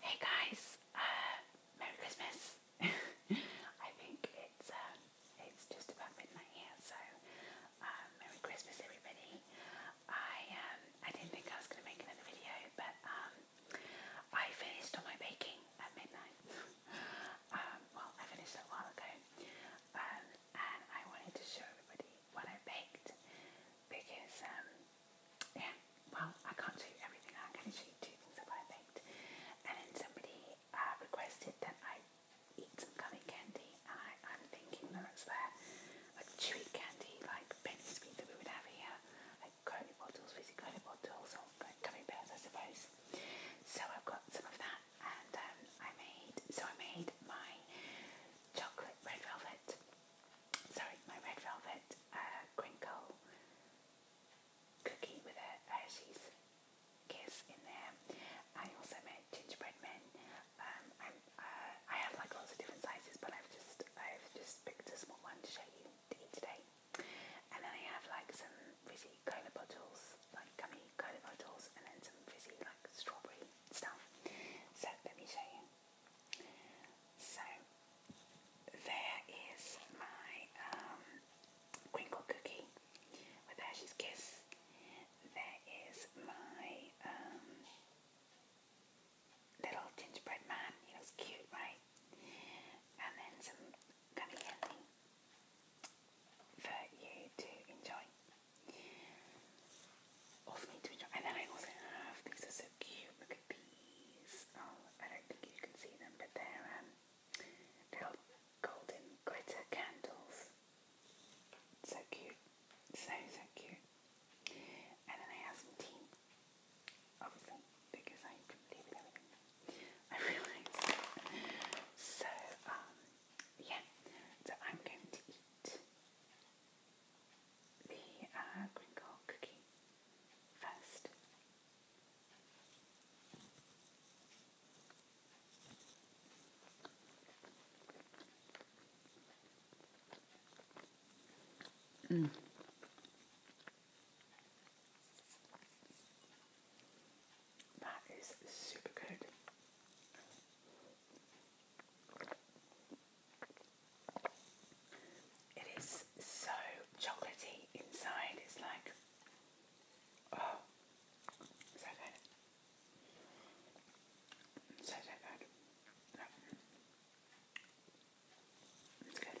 Hey guys, uh, Merry Christmas! I think it's uh, it's just about midnight here, so uh, Merry Christmas everybody. I um, I didn't think I was going to make another video, but um, I finished all my baking at midnight. Um, well, I finished a while ago, and I wanted to show everybody what I baked because yeah, well, I can't show you everything. I'm going to show you two things that I baked. And then somebody uh, requested that I eat some gummy candy. And I, I'm thinking that it's there, like chewy candy, like penny sweet that we would have here, like gummy bottles, fizzy gummy bottles, or like gummy bears, I suppose. So I've got some of that, and um, I made so I made my chocolate red velvet sorry, my red velvet uh, crinkle cookie with a Hershey's kiss in there. I also made gingerbread men. Um, i uh, I have like lots of different sizes, but I've just I've just picked a small one to show you to eat today. And then I have like some fizzy cola bottles, like gummy cola bottles, and then some fizzy like strawberry stuff. So let me show you. So there is my um, cookie with Hershey's Kiss. There is my um, little gingerbread man. He looks cute, right? And then some gummy candy for you to enjoy of me to And then I also have these are so cute. Look at these. Oh, I don't think you can see them, but they're um, they're golden glitter candles. So cute, so so cute. And then I have some tea, obviously, because I complete everything. I realised. So um, yeah. So I'm going to eat the uh, green crinkle cookie first. Mm. That is super good. It is so chocolatey inside. It's like, oh, so good. So, so good. It's good.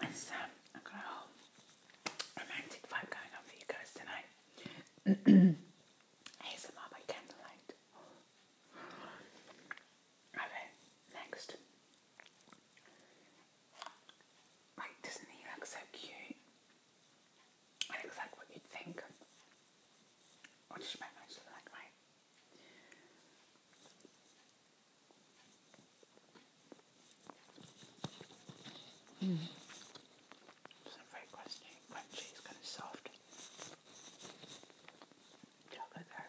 It's, um, romantic vibe going on for you guys tonight. ASMR by candlelight. Okay, next. Like, doesn't he look so cute? And it's like what you'd think. What does my nose look like, right? Mm. It's not very crunchy, crunchy, it's kind of soft. Chocolate there.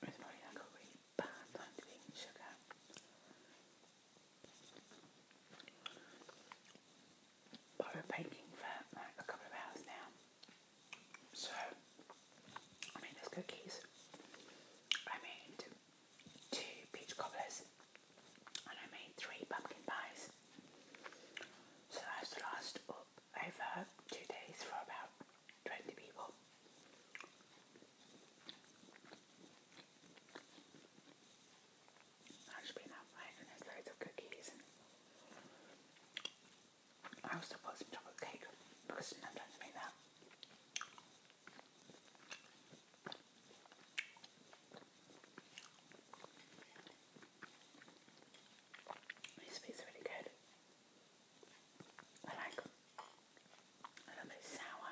This morning I really bad time to eating sugar. I've been baking for like a couple of hours now. So, I made those cookies. I made two peach cobblers and I made three pumpkin pies. So that was the last up over two days for about 20 people. I should be enough, right? And there's loads of cookies. And I also bought some chocolate cake because I make that. These beets really good. I like a little bit sour.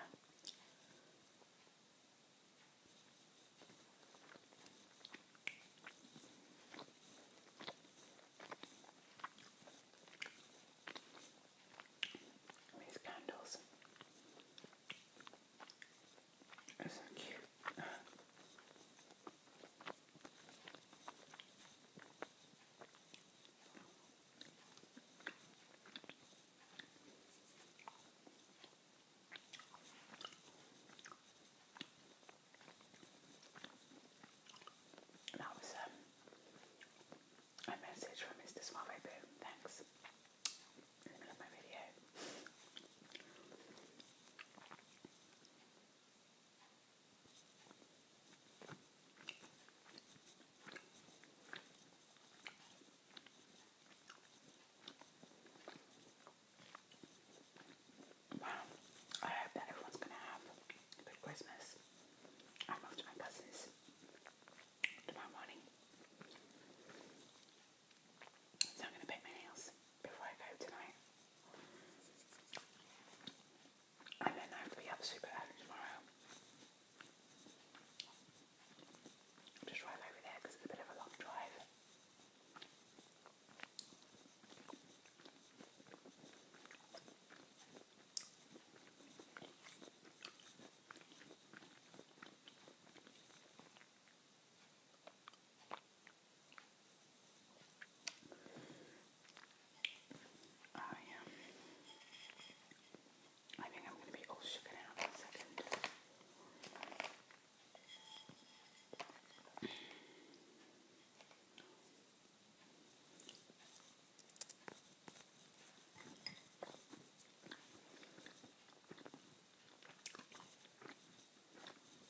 These candles are so cute. That was um, a message from Mr. Smiley Boom. Thanks. In the middle of my video. Wow, I hope that everyone's going to have a good Christmas. I'm off to my cousins tomorrow morning. So I'm going to paint my nails before I go tonight. And then I have to be up super early tomorrow. Just drive over there because it's a bit of a long drive. I oh, am I think I'm going to be all shooken out in a second.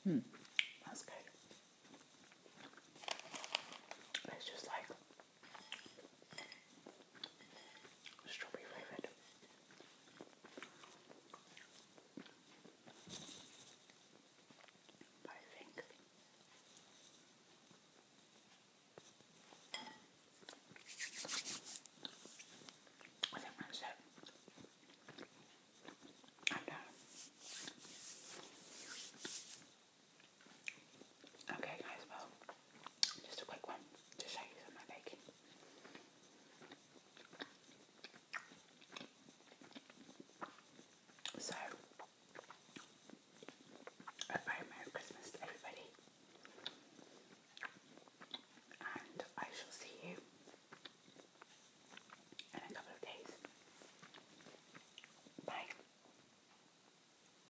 Hmm, that's good. It's just like Strawberry flavoured. I think I think that's it. I'm done. Okay, guys, well, just a quick one to show you some of my baking. So, a very Merry Christmas to everybody, and I shall see you in a couple of days. Bye.